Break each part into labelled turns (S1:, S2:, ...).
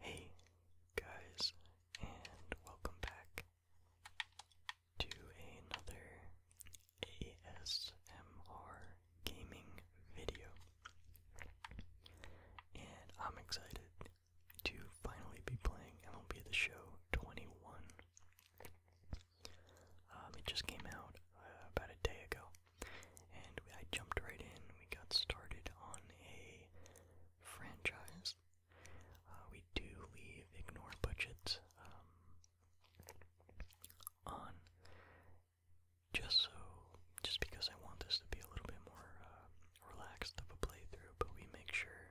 S1: Hey guys, and welcome back to another ASMR gaming video. And I'm excited to finally be playing MLB The Show 21. Um, it just came out uh, about a day ago, and I jumped right in. We got started on a franchise. Uh, we do leave ignore budgets um, on just so, just because I want this to be a little bit more uh, relaxed of a playthrough, but we make sure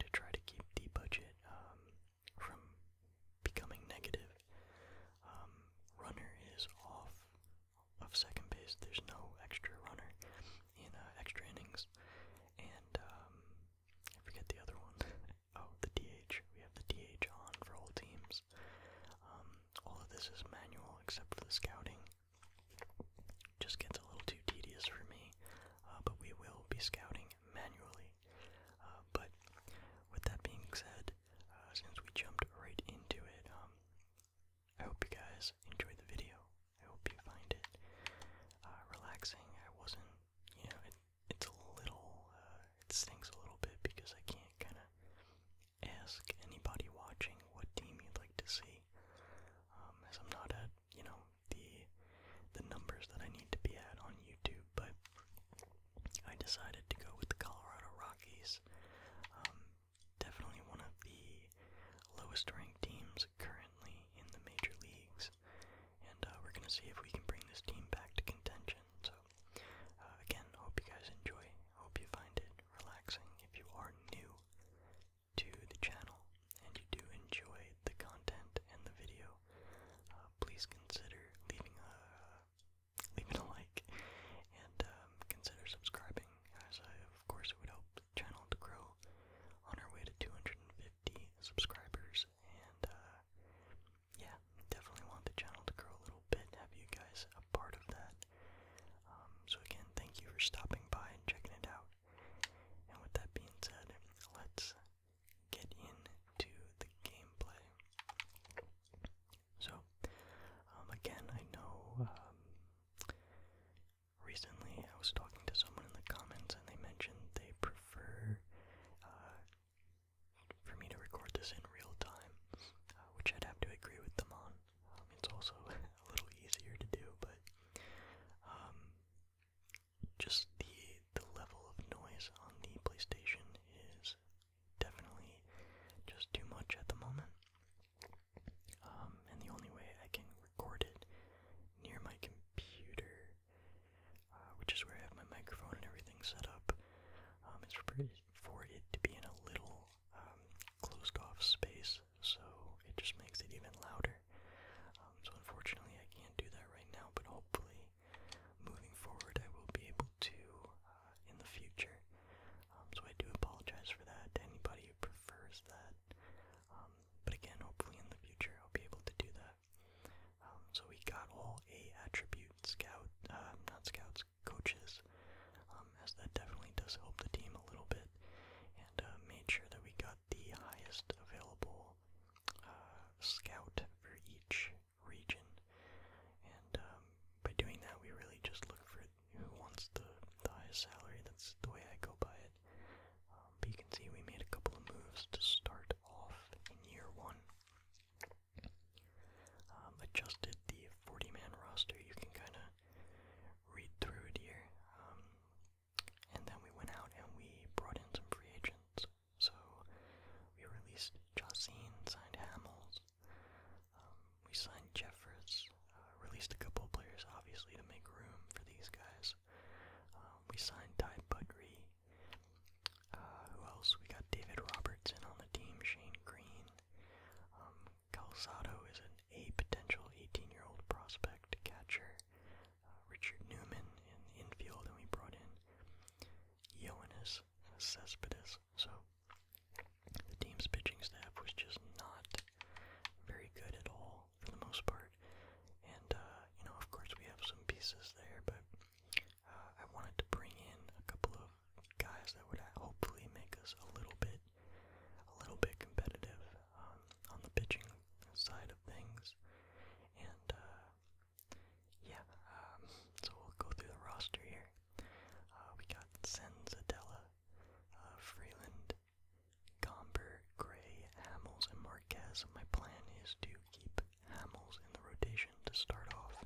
S1: to try to keep the budget um, from becoming negative. Um, runner is off of second base. There's no extra runner in uh, extra innings. And um, I forget the other one. oh, the DH. We have the DH on for all teams. Um, all of this is manual except for the scouting. Just gets a little too tedious for me, uh, but we will be scouting manually. Uh, but with that being said, uh, since we jumped right into it. Um, I hope you guys enjoyed the video. I hope you find it uh, relaxing. I wasn't, you know, it, it's a little, uh, it stinks a little bit because I can't kind of ask anybody watching what team you'd like to see, um, as I'm not at, you know, the the numbers that I need to be at on YouTube. But I decided to go with the Colorado Rockies. Um, definitely one of the lowest ranked teams currently in the major leagues, and uh, we're going to see if we can bring this team back to contention. So, uh, again, hope you guys enjoy. Hope you find it relaxing. If you are new to the channel and you do enjoy the content and the video, uh, please consider leaving a leave it a like, and um, consider subscribing, as of course, it would help the channel to grow on our way to 250 subscribers, and uh, yeah, definitely want the channel to grow a little bit, have you guys a part of that. Um, so again, thank you for stopping by and checking it out. And with that being said, let's get into the gameplay. So, um, again, I know um, recently I was talking to someone in the comments and they mentioned they prefer uh, for me to record this in real time, uh, which I'd have to agree with them on. Um, it's also a little easier to do, but um, just the the level of noise on the PlayStation is definitely just too much at the moment. Um, and the only way I can record it near my computer, uh, which is where I have my microphone and everything set up, um, is for it to be in a little um, closed off space, so it just makes it even louder. so unfortunately, I can't do that right now, but hopefully moving forward, I will be able to uh, in the future. Um, so I do apologize for that to anybody who prefers that. Um, but again, hopefully in the future I'll be able to do that. Um, so we got all A attribute scout, uh, not scouts, coaches, as that definitely does help the team a little bit, and uh, made sure that we got the highest available scout for each region. And um, by doing that, we really just look for who wants the, the highest salary. That's the way I go by it. Um, but you can see we made a couple of moves to start off in year one. Um, adjusted the 40 man roster, you can kind of read through it here. Um, and then we went out and we brought in some free agents. So we released Jocene, signed Hamels, um, we signed Jeffress, uh, released a couple players obviously to make room for these guys. Um, we signed Ty Budry. Uh, who else? We got David Robertson on the team, Shane Green. Um, Calzado is an, a potential 18-year-old prospect catcher. Uh, Richard Newman in the infield, and we brought in Ioannis Cespedes. So the team's pitching staff was just not very good at all for the most part. And, uh, you know, of course we have some pieces there, but uh, I wanted to bring in a couple of guys that would hopefully make us a little bit, a little bit competitive um, on the pitching side of things. And, uh, yeah, um, so we'll go through the roster here. Uh, we got Senzadella, uh, Freeland, Gomber, Gray, Hamels, and Marquez. My plan is to keep Hamels in the rotation to start off,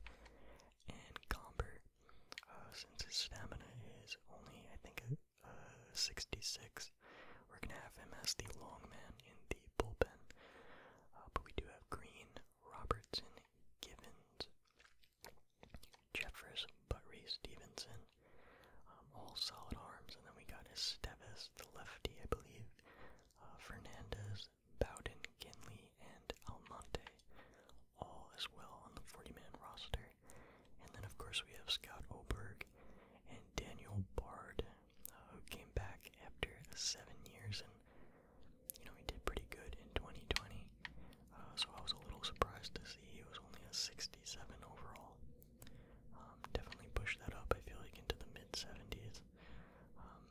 S1: and Gomber, uh, since his stamina is only, I think, uh, 66, we're gonna have him as the long man in the bullpen. Uh, but we do have Green, Robertson Givens, Jeffress Buttry Stevenson, um, all solid arms, and then we got Esteves, the lefty, I believe, uh, Fernandez, Bowden, Kinley, and Almonte, all as well on the 40-man roster. And then, of course, we have Scott Oberg and Daniel Bard, uh, who came back after seven years and you know, he did pretty good in 2020. Uh, so I was a little surprised to see he was only a 67 overall. Um, definitely pushed that up, I feel like, into the mid 70s. Um,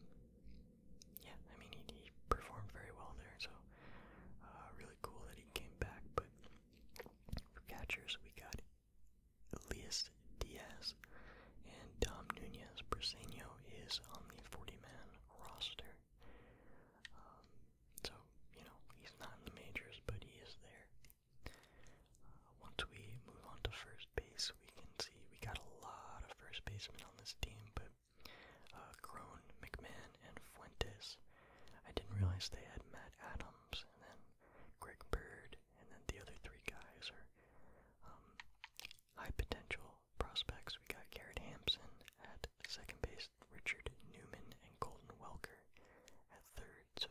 S1: yeah, I mean, he, he performed very well there, so uh, really cool that he came back. But for catchers, we got Elias Diaz, and Dom Nunez Briseño is on the 40-man roster. Um, so, you know, he's not in the majors, but he is there. Uh, once we move on to first base, we can see we got a lot of first basemen on this team, but uh, McMahon, and Fuentes. I didn't realize they had Matt Adams, and then Greg Bird, and then the other three guys are um, high potential prospects, we got Garrett Hampson at second base, Richard Newman and Colton Welker at third. So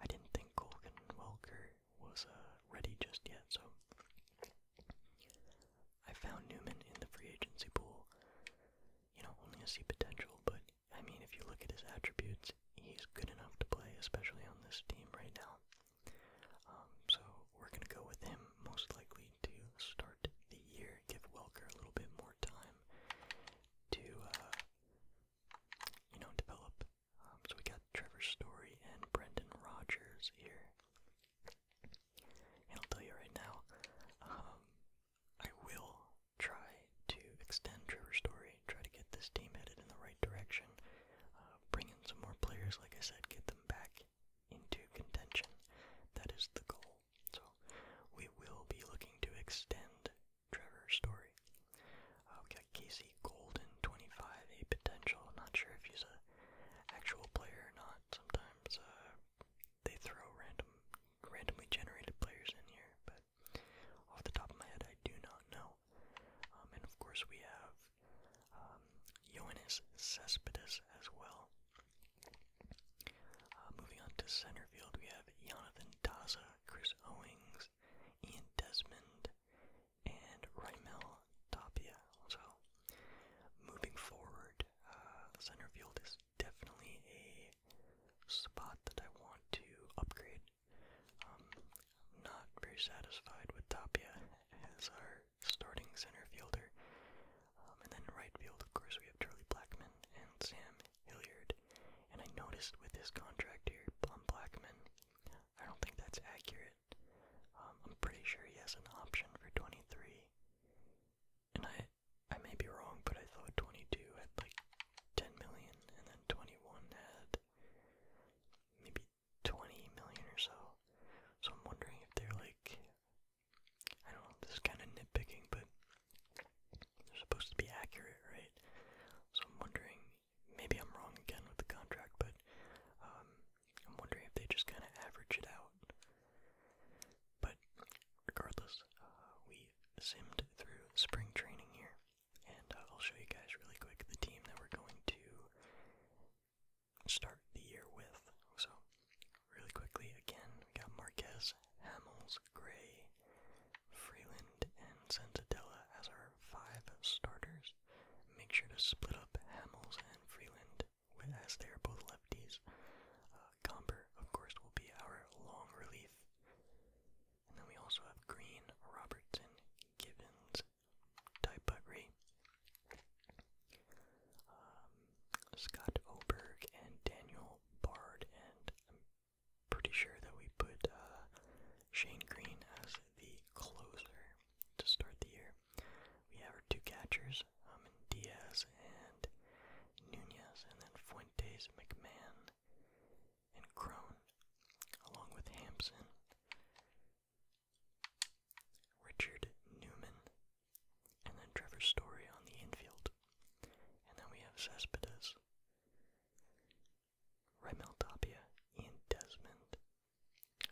S1: I didn't think Colton Welker was uh, ready just yet. So I found Newman in the free agency pool. You know, only to see potential, but I mean, if you look at his attributes, he's good enough to play, especially on this team right now. Um, so we're going to go with him most likely to start the year, give Welker a little bit more time to, uh, you know, develop. Um, so we got Trevor Story and Brendan Rodgers here. And I'll tell you right now, um, I will try to extend Trevor Story, try to get this team headed in the right direction uh, some more players, like I said, get them back into contention. That is the goal. So we will be looking to extend Trevor's story. Uh, we got Casey Golden, 25, a potential. Not sure if he's an actual player or not. Sometimes uh, they throw random, randomly generated players in here, but off the top of my head, I do not know. Um, and of course, we have um, Ioannis Cespedes as well. Uh, moving on to center field, we have Jonathan Daza, Chris Owings, Ian Desmond, and Raimel Tapia. So, moving forward, uh, center field is definitely a spot that I want to upgrade. Um, not very satisfied with Tapia as our starting center fielder. Um, and then right field, of course, we have Charlie Blackman and Sam Hilliard. And I noticed with this contract here, Plum Blackman, I don't think that's accurate. Um, I'm pretty sure he has an option for 23. And I I may be wrong, but I thought 22 had like 10 million, and then 21 had maybe 20 million or so. So I'm wondering if they're like, I don't know, this is kind of nitpicking, but they're supposed to be accurate, right? So I'm wondering, maybe I'm wrong again with the contract, but um, I'm wondering if they just kind of average it out. But regardless, uh, we simmed through spring training here, and uh, I'll show you guys really quick the team that we're going to start the year with. So, really quickly, again, we got Marquez, Hamels, Gray, Freeland, and Sensatella as our five starters. Make sure to split up Hamels and Freeland as they are both lefties. Uh, of course, will be our long relief. And then we also have Green, Robertson, Givens, type um, Scott Oberg and Daniel Bard, and I'm pretty sure that we put uh, Shane Green as the closer to start the year. We have our two catchers, um, Diaz and Nunez, and then Fuentes, McMahon, and Crone, along with Hampson. Richard Newman, and then Trevor Story on the infield. And then we have Cespedes, Remel Tapia, Ian Desmond.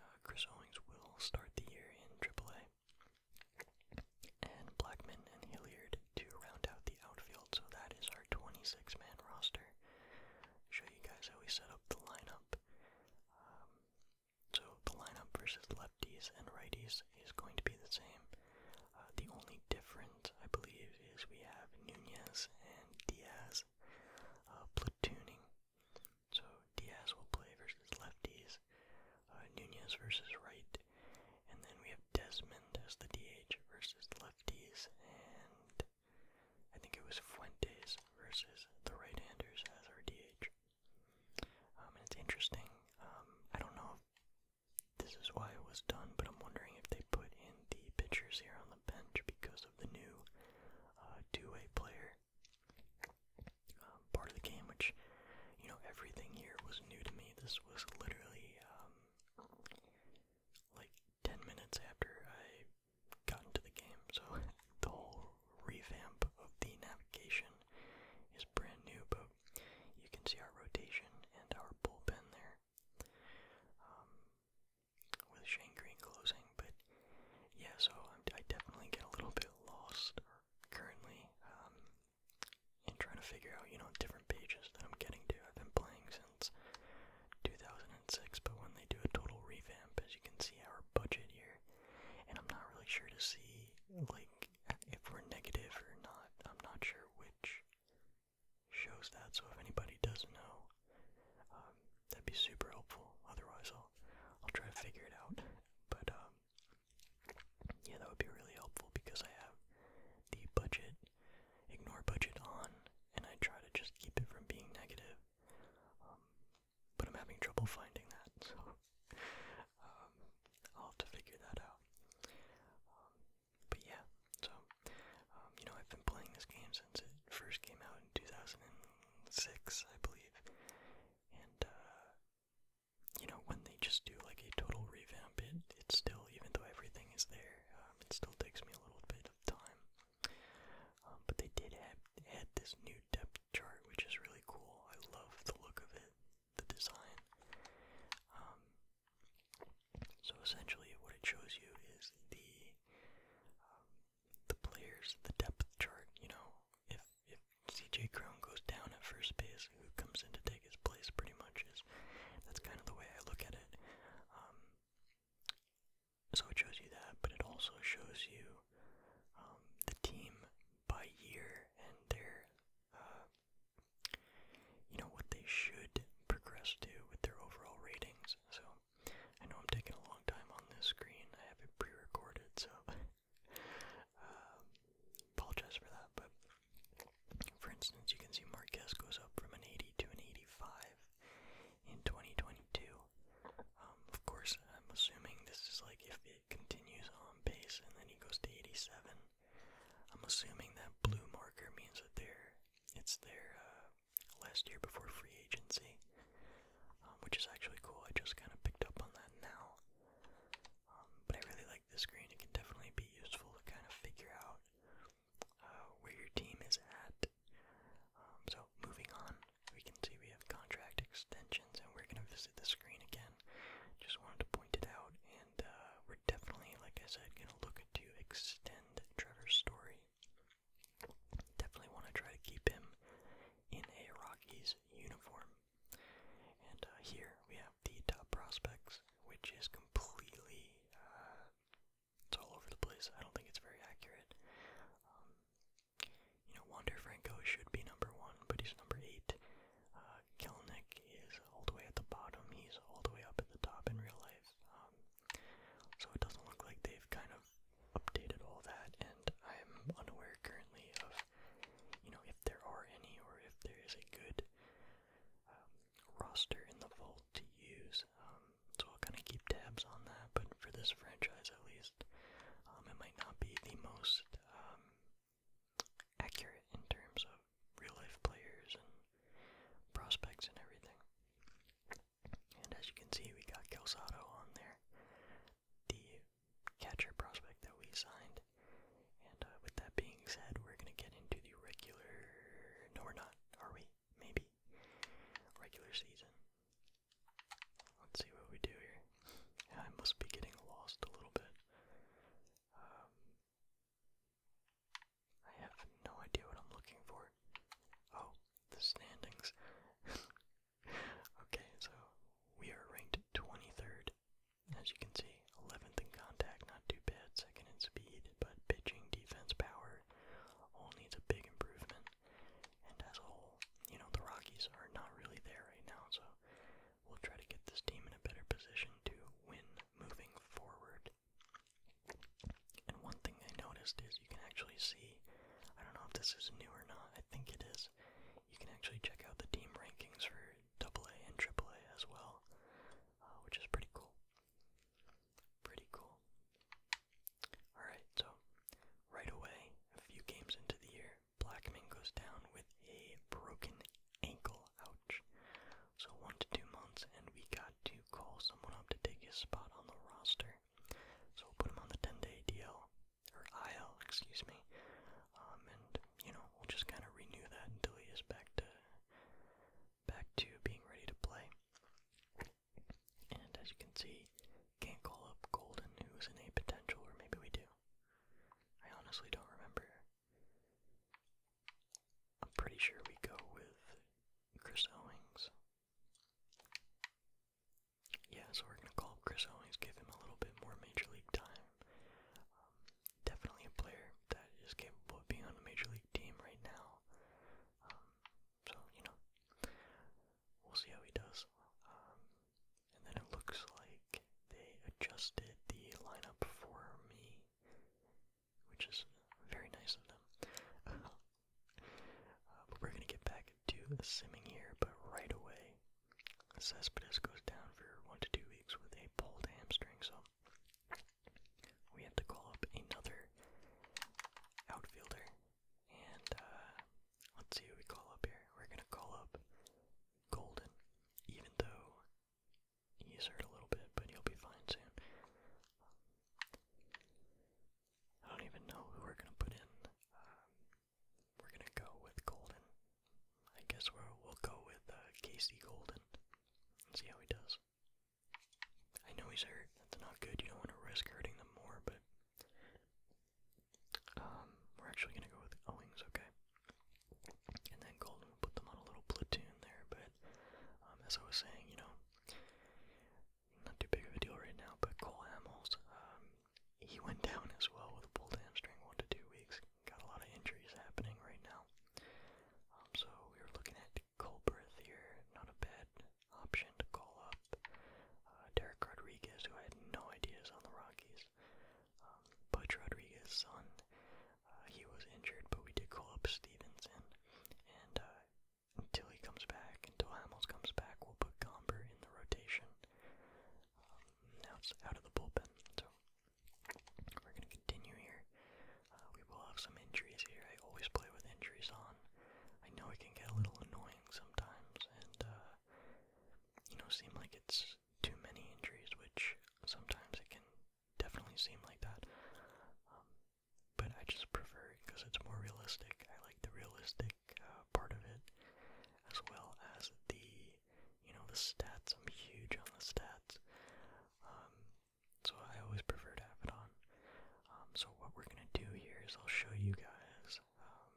S1: Uh, Chris Owings will start the year in AAA. And Blackman and Hilliard to round out the outfield. So that is our 26 man roster. Show you guys how we set up the lineup. Um, so the lineup versus lefties and righties is going to be the same. Uh, the only difference, I believe, is we have Nunez and Diaz uh, platooning. So Diaz will play versus lefties, uh, Nunez versus right, and then we have Desmond as the DH versus lefties, and I think it was Fuentes versus the right-handers as our DH. Um, and it's interesting. Um, I don't know this is why it was done, but I'm wondering if they put in the pitchers here on the bench because of the new uh, two-way player um, part of the game, which you know everything here was new to me. This was literally like ten minutes after I got into the game. So the whole revamp of the navigation is brand new, but you can see our rotation and our bullpen there. Um, with Shane Green closing, but yeah, so i definitely get a little bit lost currently um, in trying to figure out, you know, different pages that I'm getting to. I've been playing since 2006, but when they do a total revamp, you can see our budget here. And I'm not really sure to see like if we're negative or not. I'm not sure which shows that. So if anybody does know, um, that'd be super helpful. Otherwise, I'll I'll try to figure it out. But um, yeah, that would be really helpful because I have the budget, ignore budget on, and I try to just keep it from being negative. Um, but I'm having trouble finding that, so um, I'll have to figure that out. Um, but yeah, so you know I've been playing this game since it first came out in 2006, I believe, and uh, you know when they just do like a total revamp, it it's still even though everything is there, it still takes me a little bit of time um, but they did add this new depth chart, which is really cool. I love the look of it, the design. Um, so essentially, what it shows you is the um, the players, the depth chart. You know, if if CJ Crown goes down at first base, who comes in to take his place? Pretty much is that's kind of the way I look at it. Um, so it shows you that, but it also shows you um, the team by year and their, uh, you know, what they should progress to with their overall ratings. So I know I'm taking a long time on this screen. I have it pre-recorded, so um, apologize for that. But for instance, you can see Marquez goes up from an 80 to an 85 in 2022. Um, of course, I'm assuming this is like if it continues on pace and then he goes to 87. I'm assuming that blue marker means that they're, it's their uh, last year before free agency, um, which is actually cool. I just kind of picked up on that now. Um, but I really like this screen. It can definitely be useful to kind of figure out uh, where your team is at. Um, so moving on, we can see we have contract extensions, and we're going to visit the screen again. Just wanted to point it out, and uh, we're definitely, like I said, going to look to extend Trevor's story. Definitely want to try to keep him in a Rockies uniform. And uh, here we have the top prospects, which is completely it's all over the place. I don't think it's very accurate. Um, you know, Wander Franco should be number one, but he's number eight. Uh, Kelnick is all the way at the bottom. He's all the way up at the top in real life. Um, so it doesn't look like they've kind of updated all that, and I'm unaware currently of, you know, if there are any or if there is a good um, roster in the vault to use so I'll kind of keep tabs on that. But for this franchise, at least, um, it might not be the most um, accurate in terms of real life players and prospects and everything. And as you can see, we got Calzado on there, the catcher prospect that we signed. And uh, with that being said, we're gonna get into the regular. No, we're not. Are we? maybe. Regular season. Let's see what we do here. I must be getting lost a little bit. Um, I have no idea what I'm looking for. Oh, the standings. okay, so we are ranked 23rd. As you can see, 11th in contact, not too bad. Second in speed, but pitching, defense, power all needs a big improvement. And as a whole, you know, the Rockies are not really there right now, so we'll try to get this team in a better position to win moving forward. And one thing I noticed is you can actually see, I don't know if this is new or not, I think it is. You can actually check out the team rankings for AA and AAA as well, uh, which is pretty cool. Pretty cool. Alright, so right away, a few games into the year, Blackman goes down with a broken ankle. Ouch. So one to two months, and we got to call someone up to take his spot on the roster. So we'll put him on the 10 day DL, or IL, excuse me. Um, and, you know, we'll just kind of renew that until he is back to. Back to being ready to play. And as you can see, can't call up Golden, who's in a potential, or maybe we do. I honestly don't remember. I'm pretty sure we go with Chris Owings. Yeah, so we're going to call up Chris Owings, give him a little bit more Major League time. Um, definitely a player that is capable of being on a Major League team right now. Um, so, you know, we'll see how he does. Um, and then it looks like they adjusted the lineup for me, which is very nice of them. Uh, but we're going to get back to simming here, but right away, Cespedes goes down for one to two weeks with a pulled hamstring, so we had to call up another outfielder. And uh, let's see who we call up here. We're going to call up Golden, even though he's hurt a little bit, but he'll be fine soon. I don't even know who we're going to put in. Um, we're going to go with Golden. I guess we'll, go with uh, Casey Golden and see how he does. I know he's hurt. That's not good. You don't want to risk hurting them more, but um, we're actually going to go with Owings, okay? And then Golden put them on a little platoon there, but um, as I was saying, you know, not too big of a deal right now, but Cole Hamels, um, he went down as well with a pulled hamstring one to two weeks. Got a lot of injuries happening right now. Um, so we were looking at Colberth here, not a bad option to call up. Uh, Derek Rodriguez, who had no ideas on the Rockies. Um, Butch Rodriguez's son, uh, he was injured, but we did call up Stevenson. And uh, until he comes back, until Hamels comes back, we'll put Gomber in the rotation. Um, now it's out of the bullpen, so we're going to continue here. Uh, we will have some injuries here. I always play with injuries on. I know it can get a little annoying sometimes, and uh, you know, seem like it's too many injuries, which sometimes it can definitely seem like that. Um, but I just prefer it because it's more realistic. I like the realistic uh, part of it, as well as the, you know, the stats. I'm huge on the stats. Um, so I always prefer to have it on. Um, so what we're gonna do here is I'll show you guys um,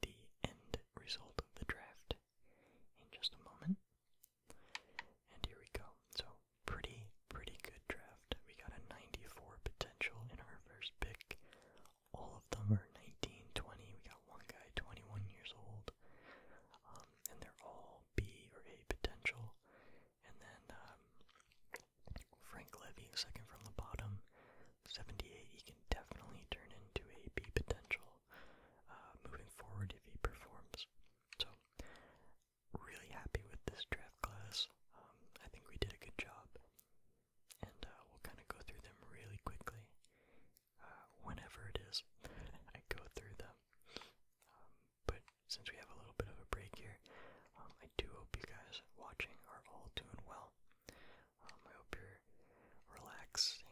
S1: the end result of the draft in just a moment. And here we go. So pretty, pretty good draft. We got a 94 potential in our first pick. All of them are 19, 20. We got one guy 21 years old, um, and they're all B or A potential. And then um, Frank Levy, second from the bottom, 78. He can definitely turn into a B potential uh, moving forward if he performs. So, really happy with this draft class. Um, I think we did a good job. And uh, we'll kind of go through them really quickly. Uh, whenever it is, I go through them. Um, but since we have a little bit of a break here, um, I do hope you guys watching are all doing well. Um, I hope you're relaxing,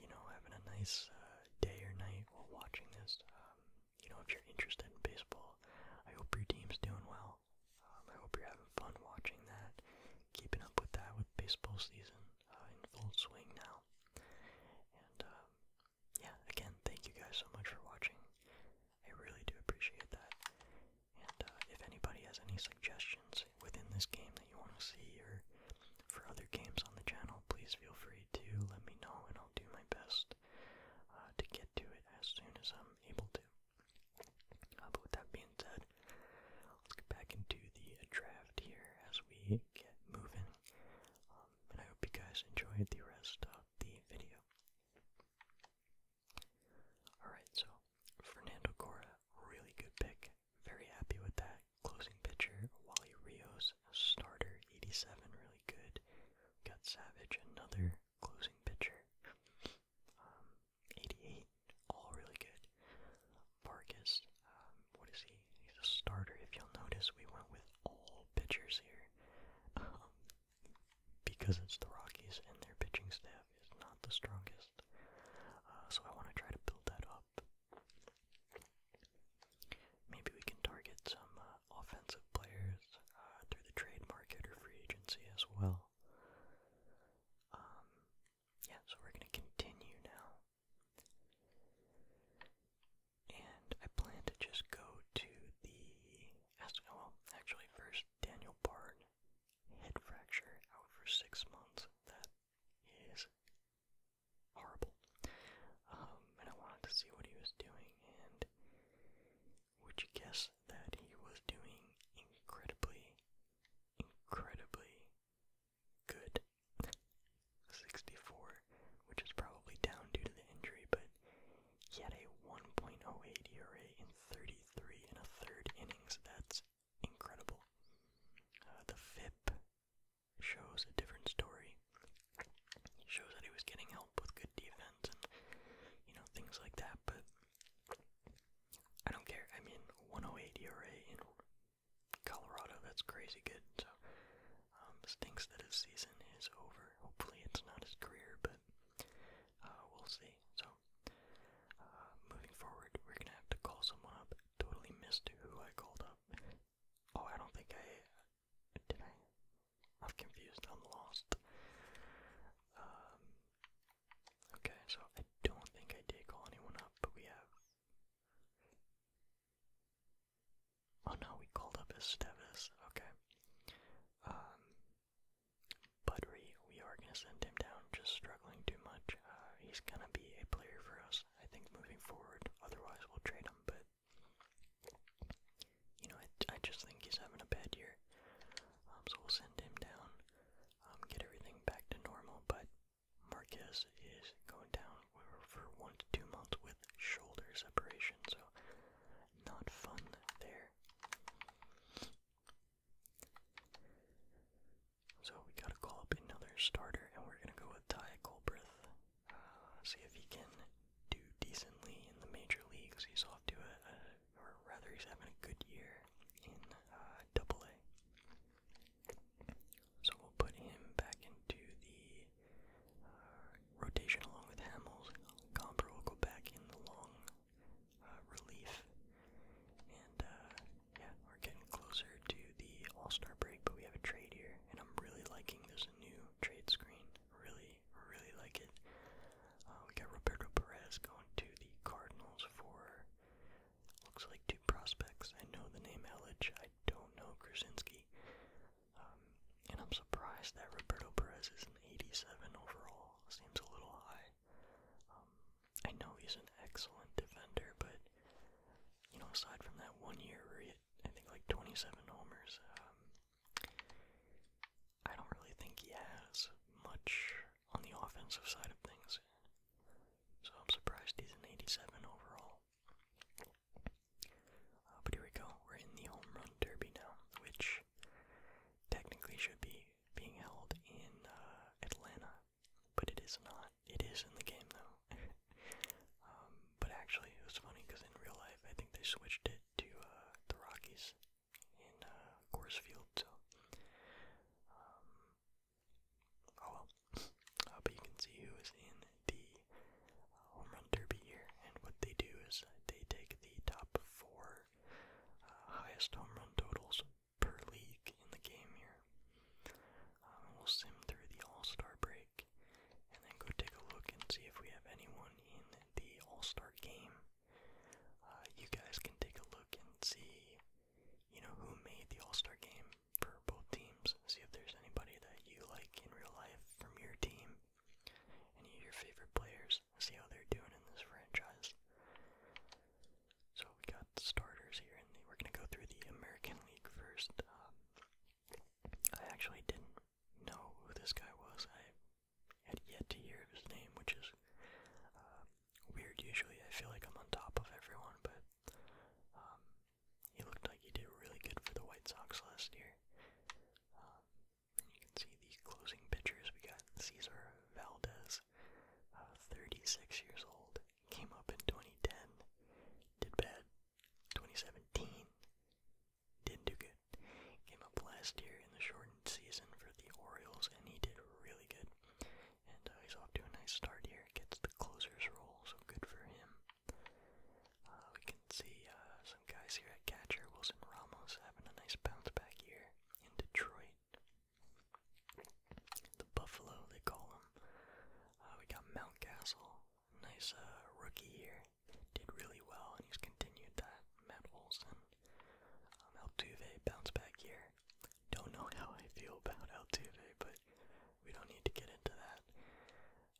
S1: you know, having a nice uh, day or night while watching this. Um, you know, if you're interested in baseball, I hope your team's doing well. I hope you're having fun watching that, keeping up with that with baseball season uh, in full swing now. And yeah, again, thank you guys so much for watching. I really do appreciate that. And uh, if anybody has any suggestions within this game that you want to see or for other games on the channel, please feel free to let me know and I'll do my best uh, to get to it as soon as I'm able to. Uh, but with that being said, let's get back into the draft here as we get moving. Um, and I hope you guys enjoyed the rest of the video. Alright, so Fernando Cora, really good pick. Very happy with that. Closing pitcher, Wally Rios, starter, 87, really good. Got Savage, another closing pitcher, um, 88, all really good. Vargas, um, what is he? He's a starter. If you'll notice, we went with all pitchers here. Um, because it's the Rockies and their pitching staff is not the strongest. Uh, so I want to try to build that up. Maybe we can target some uh, offensive players uh, through the trade market or free agency as well. Um, yeah, so we're going to continue now and I plan to just go to the astronaut. Well, actually, first Daniel Bard head fracture out for six months. That is horrible. Um, and I wanted to see what he was doing, and would you guess that he was doing incredibly, incredibly good? 64 which is probably down due to the injury, but he had a 1.08 ERA in 33 and a third innings. That's incredible. Uh, the FIP shows a different story. shows that he was getting help with good defense and you know things like that, but I don't care. I mean, 1.08 ERA in Colorado, that's crazy good. So um, that his season is over. Hopefully, it's not his career, but uh, we'll see. So, uh, moving forward, we're gonna have to call someone up. Totally missed who I called up. Oh, I don't think I did. I I'm confused. I'm lost. Um, okay, so I don't think I did call anyone up, but we have Oh no, we called up Estevez. Okay. Um, Budry, we are going to send him down, just struggling too much. Uh, he's going to be a player for us, I think, moving forward. Otherwise, we'll trade him, but, you know, I, I just think he's having a bad year. Um, so we'll send him down, um, get everything back to normal, but Marquez is going down for one to two months with shoulder separation, so not fun there. So we gotta call up another starter, and we're gonna go with Ty Colbreth. Uh, see if he can do decently in the major leagues. He's off to a, or rather, he's having a good year in uh, Double A. So we'll put him back into the uh, rotation along with Hamels. Comper will go back in the long uh, relief. And uh, yeah, we're getting closer to the All Star break, but we have a trade here, and I'm really liking this new trade screen. Really, really like it. we got Roberto Perez going to the Cardinals for looks like two prospects. I know the name Ellich. I don't know Krasinski. Um, and I'm surprised that Roberto Perez is an 87 overall. Seems a little high. Um, I know he's an excellent defender, but you know, aside from that one year where he hit, I think like 27 homers, um, I don't really think he has much on the offensive side of things. So I'm surprised he's an 87 overall. Uh, but here we go. We're in the home run derby now, which technically should be being held in uh, Atlanta, but it is not. It is in the game though. Um, but actually, it was funny because in real life, I think they switched it to uh, the Rockies in Coors Field. Um, oh well. but you can see who is in the home run derby year, and what they do is they take the top four uh, highest home run totals per league in the game here. Um, we'll sim through the All Star break, and then go take a look and see if we have anyone in the All Star game. Uh, you guys can take a look and see, you know, who made the All Star game for both teams. See if there's anybody that you like in real life from your team any of your favorite players, see how they're doing in this franchise. So we got starters here, and we're gonna go through the American League first. Uh, I actually didn't know who this guy was. I had yet to hear his name, which is uh, weird. Usually, I feel like I'm on top of everyone, but um, he looked like he did really good for the White Sox last year. Um, you can see the closing pitchers. We got Cesar Valdez, uh, 36 years old, came up in 2010, did bad 2017, didn't do good. Came up last year in the shortened season for the Orioles, and he did really good. And uh, he's off to a nice start here. Gets the closer's role, so good for him. Uh, we can see uh, some guys here at catcher, Wilson Ramos having a nice bounce back here in Detroit. The Buffalo, they call him. Uh, we got Mountcastle, nice rookie here, did really well, and he's continued that. Matt Olson, um, Altuve, bounce back here. Don't know how I feel about Altuve, but we don't need to get into that.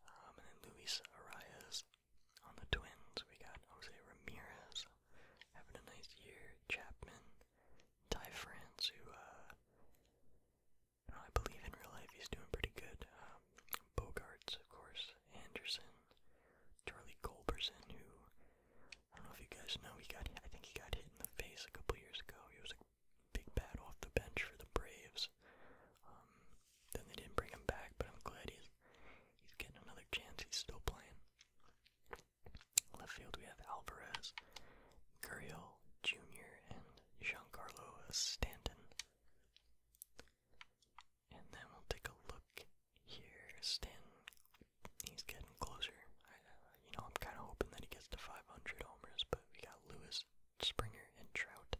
S1: Um, and then Luis Arias on the Twins. We got Jose Ramirez having a nice year. Chapman, Ty France, who uh, I believe in real life he's doing pretty good. Um, Bogarts, of course. Anderson, Charlie Culberson, who I don't know if you guys know, he got I think he got hit in the face a couple years ago. He was a big bat off the bench for the Braves. Um, then they didn't bring him back, but I'm glad he's he's getting another chance. He's still playing. Left field we have Alvarez, Gurriel Jr. and Giancarlo Stanton. And then we'll take a look here. Stanton, he's getting closer. I, uh, you know, I'm kind of hoping that he gets to 500 homers, but we got Lewis Springer and Trout.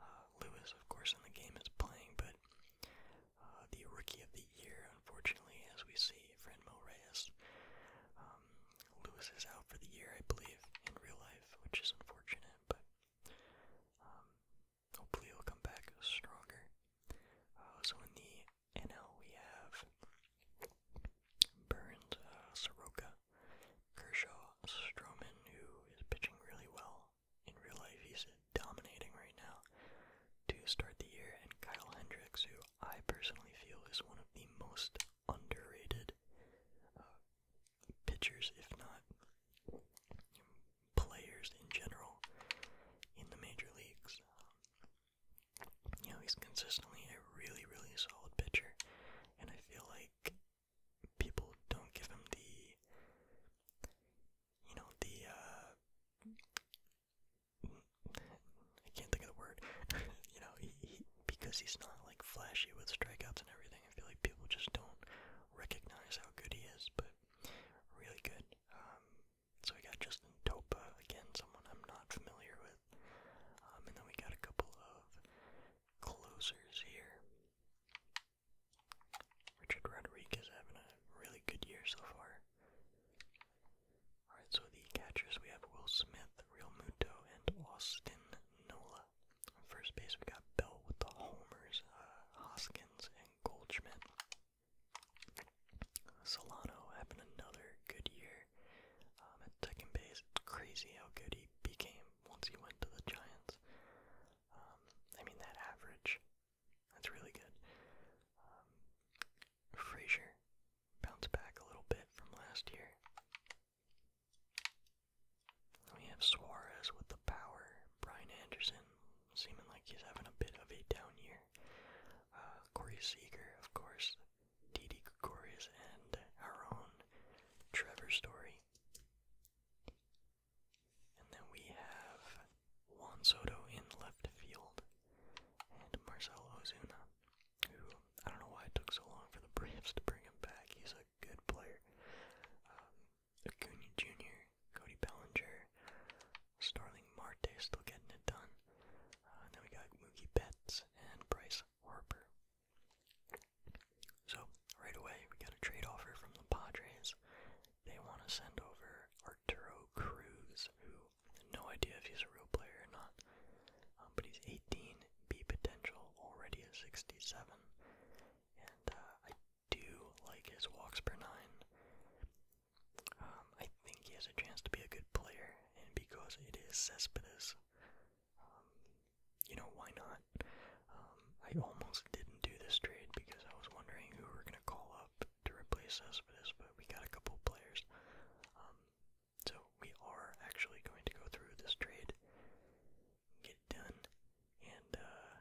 S1: Uh, Lewis, of course, in the game is playing, but uh, the rookie of the year, unfortunately, as we see, Franmil Reyes. Um, Lewis is out for the year, I believe, in real life, which is unfortunate, but um, hopefully he'll come back stronger. Uh, so in the NL, we have Burns, Soroka, Kershaw Stroman, who is pitching really well in real life. He's dominating right now to start the year. And Kyle Hendricks, who I personally feel is one of the most underrated uh, pitchers, if not players in general, in the major leagues. you know, he's consistently a really, really solid pitcher, and I feel like people don't give him the, you know, the, uh, I can't think of the word, you know, he, he, because he's not, like, flashy with strikeouts and everything, I feel like people just don't recognize how good he is, but really good. Um, so we got Justin Topa, again, someone I'm not familiar with, um, and then we got a couple of closers here. Richard Rodriguez having a really good year so far. Alright, so the catchers we have Will Smith, Real Muto, and Austin Nola. first base we got Bell with the homers, uh, Hoskins, and Goldschmidt. Solano having another good year. Um, at second base, crazy how good he became once he went to the Giants. Um, I mean, that average, that's really good. Fraser, um, Frazier bounced back a little bit from last year. We have Suarez with the power. Brian Anderson seeming like he's having a bit of a down year. Uh, Corey Seager, of course. Didi Gregorius and our own Trevor Story. And then we have Juan Soto in left field and Marcel Ozuna, who I don't know why it took so long for the Braves to bring him back. He's a good player. Um, Acuna Jr., Cody Bellinger, Starling Marte still getting it done. Uh, then we got Mookie Betts and Bryce Harper. So, right away, we got a trade offer from the Padres. They want to send over Arturo Cruz, who, no idea if he's a real player or not, um, but he's 18, B potential, already a 67. And uh, I do like his walks per nine. Um, I think he has a chance to be a good player, and because it is Cespedes, um, you know, why not? Um, I almost didn't do this trade because I was wondering who we're going to call up to replace Cespedes, but we got a couple players. Um, so we are actually going to go through this trade, get done, and uh,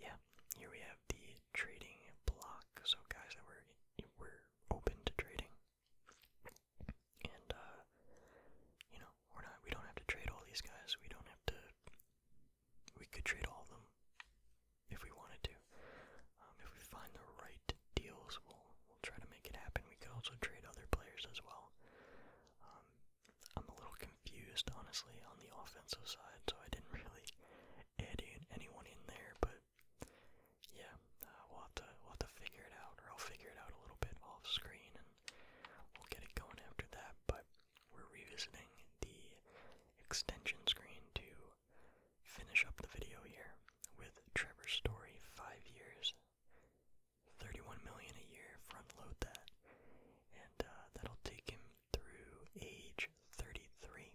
S1: yeah, here we have the trading block. So guys that were were open to trading, and uh, you know we're not we don't have to trade all these guys. We don't have to. We could trade all of them if we wanted to. Um, if we find the right deals, we'll we'll try to make it happen. We could also trade other players as well. Um, I'm a little confused, honestly, on the offensive side, so I didn't really add in anyone in there. But yeah, uh, we'll have to we'll have to figure it out, or I'll figure it out a little bit off screen We'll get it going after that, but we're revisiting the extension screen to finish up the video here with Trevor's story five years, 31 million a year, front load that, and uh, that'll take him through age 33.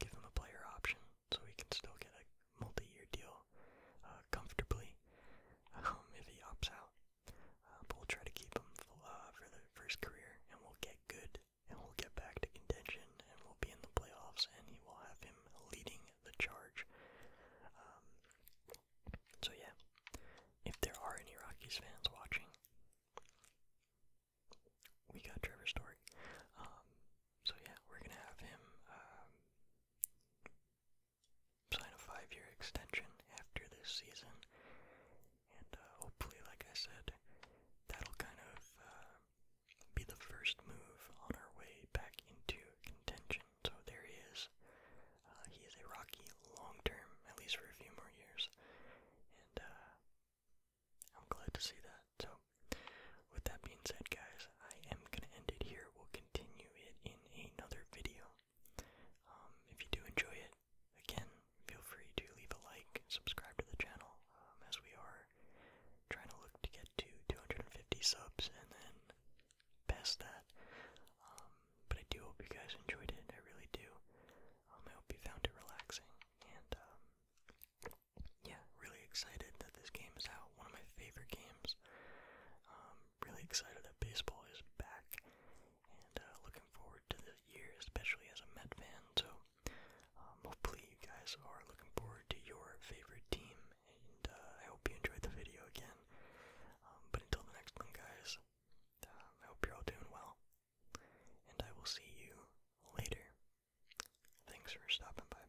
S1: Give him a player option so he can still get a multi-year deal uh, comfortably um, if he opts out. Um, but we'll try to keep him uh, for the first career, and we'll get good, and we'll get back to contention, and we'll be in the playoffs, and he will have him leading the charge. Um, so yeah, if there are any Rockies fans watching, we got Trevor Story. Um, so yeah, we're gonna have him sign a five year extension after this season. And uh, hopefully, like I said, that'll kind of uh, be the first move on our way back into contention. So there he is. Uh, he is a Rocky long term, at least for a few more years. And I'm glad to see that. So, with that being said, guys, I am going to end it here. We'll continue it in another video. Um, if you do enjoy it, again, feel free to leave a like, subscribe to the channel, um, as we are trying to look to get to 250 subs and then past that. Um, but I do hope you guys enjoyed it, I really do. I hope you found it relaxing, and yeah, really excited that this game is out. One of my favorite games. I'm really excited that baseball is back and uh, looking forward to this year, especially as a Met fan. So um, hopefully you guys are looking forward to your favorite team, and uh, I hope you enjoyed the video again. Um, but until the next one, guys, um, I hope you're all doing well, and I will see you later. Thanks for stopping by.